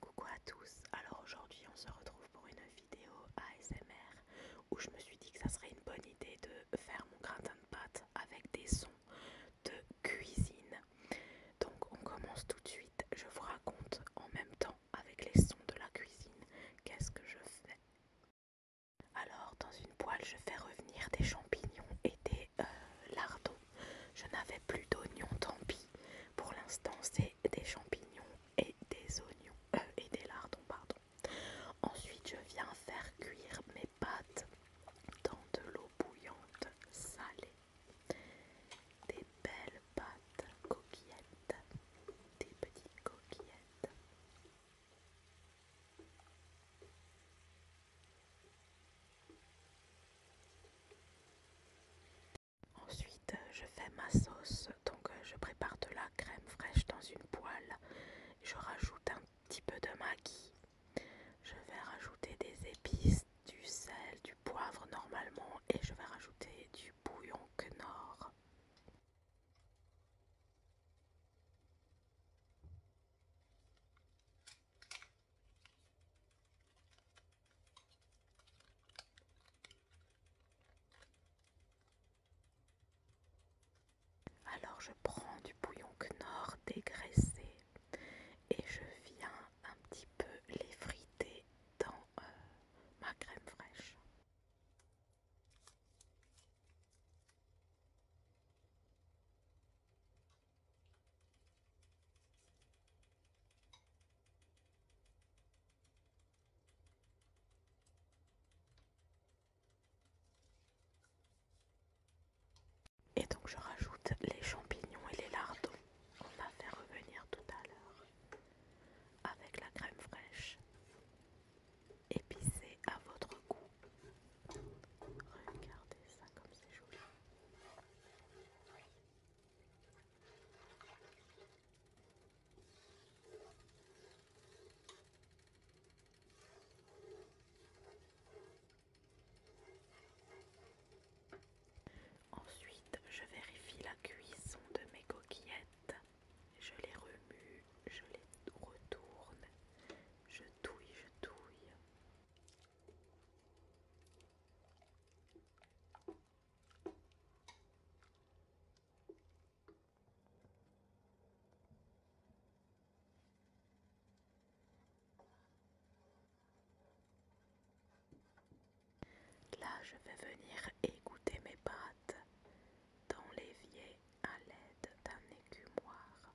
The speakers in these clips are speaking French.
Coucou à tous, alors aujourd'hui on se retrouve pour une vidéo ASMR où je me suis dit que ça serait une bonne idée de faire mon gratin de pâte avec des sons de cuisine. Donc on commence tout de suite, je vous raconte en même temps avec les sons de la cuisine qu'est-ce que je fais. Alors dans une poêle je fais revenir des champignons et des euh, lardons je n'avais plus d'oignons, tant pis. Pour l'instant, c'est des champignons et des oignons euh, et des lardons, pardon. Ensuite, je viens faire cuire mes pâtes dans de l'eau bouillante salée. Des belles pâtes coquillettes, des petites coquillettes. Ensuite, je fais ma sauce. Donc, euh, je prépare de la crème fraîche dans une poêle. Je rajoute un petit peu de maquis Je vais rajouter des épices, du sel, du poivre normalement et je vais rajouter du bouillon Knorr. Alors je prends du bouillon Knorr dégraissé et je viens un petit peu les friter dans euh, ma crème fraîche. Et donc je rajoute les champignons et les lardons. On va faire revenir tout à l'heure avec la crème fraîche. Épicée à votre goût. Regardez ça comme c'est joli. Ensuite, je vérifie la cuisson de mes coquillettes. Je les remue, je les retourne, je touille, je touille. Là, je vais venir écouter mes pattes, dans l'évier à l'aide d'un écumoire.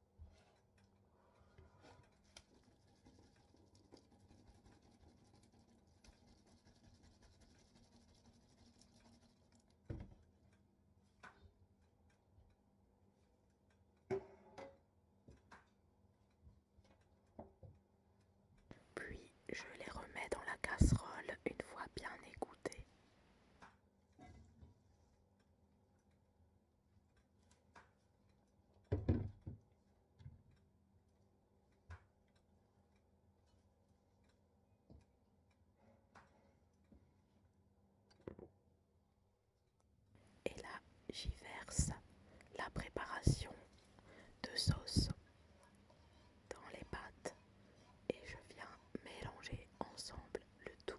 Puis je les remets dans la casserole une fois bien égouttés. Et là, j'y verse la préparation de sauce dans les pâtes et je viens mélanger ensemble le tout.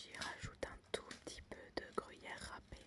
J'y rajoute un tout petit peu de gruyère râpée.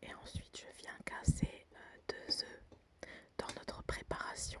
Et ensuite, je viens casser euh, deux œufs dans notre préparation.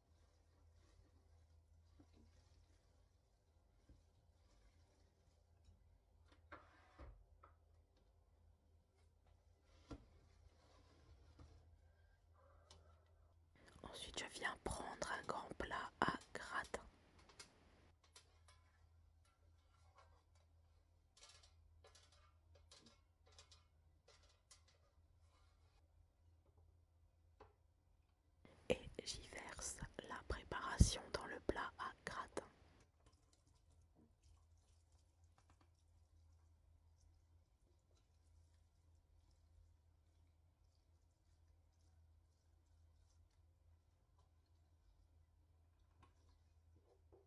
Ensuite, je viens prendre un grand plat à gratin. Et j'y verse la préparation dans le plat à gratin.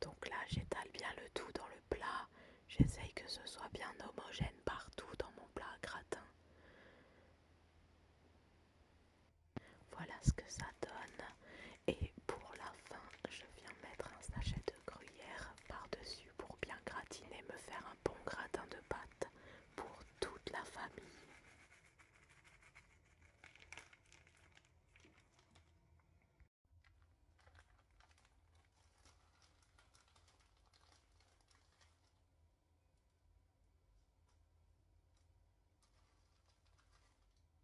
Donc là, j'étale bien le tout dans le plat. J'essaye que ce soit bien homogène partout dans mon plat gratin. Voilà ce que ça donne. Et pour la fin, je viens mettre un sachet de gruyère par-dessus pour bien gratiner, me faire un bon gratin de pâte pour toute la famille.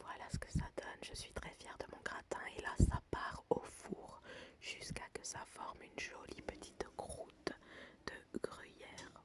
Voilà ce que ça donne. Je suis très fière de mon gratin et là ça part au four jusqu'à ce que ça forme une jolie petite croûte de gruyère.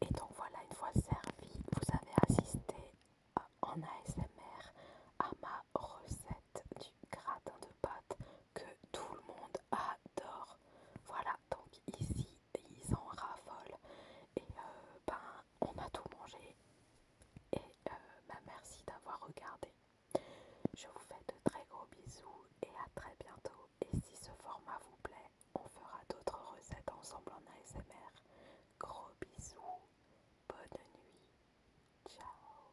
Et donc voilà, une fois servi, vous avez assisté en ASMR à ma recette du gratin de pâte que tout le monde adore. Voilà, donc ici ils en raffolent et euh, ben on a tout mangé. Et euh, ben, merci d'avoir regardé. Je vous fais de très gros bisous et à très bientôt. Et si ce format vous plaît, on fera d'autres recettes ensemble en ASMR. Gros bisous, bonne nuit, ciao.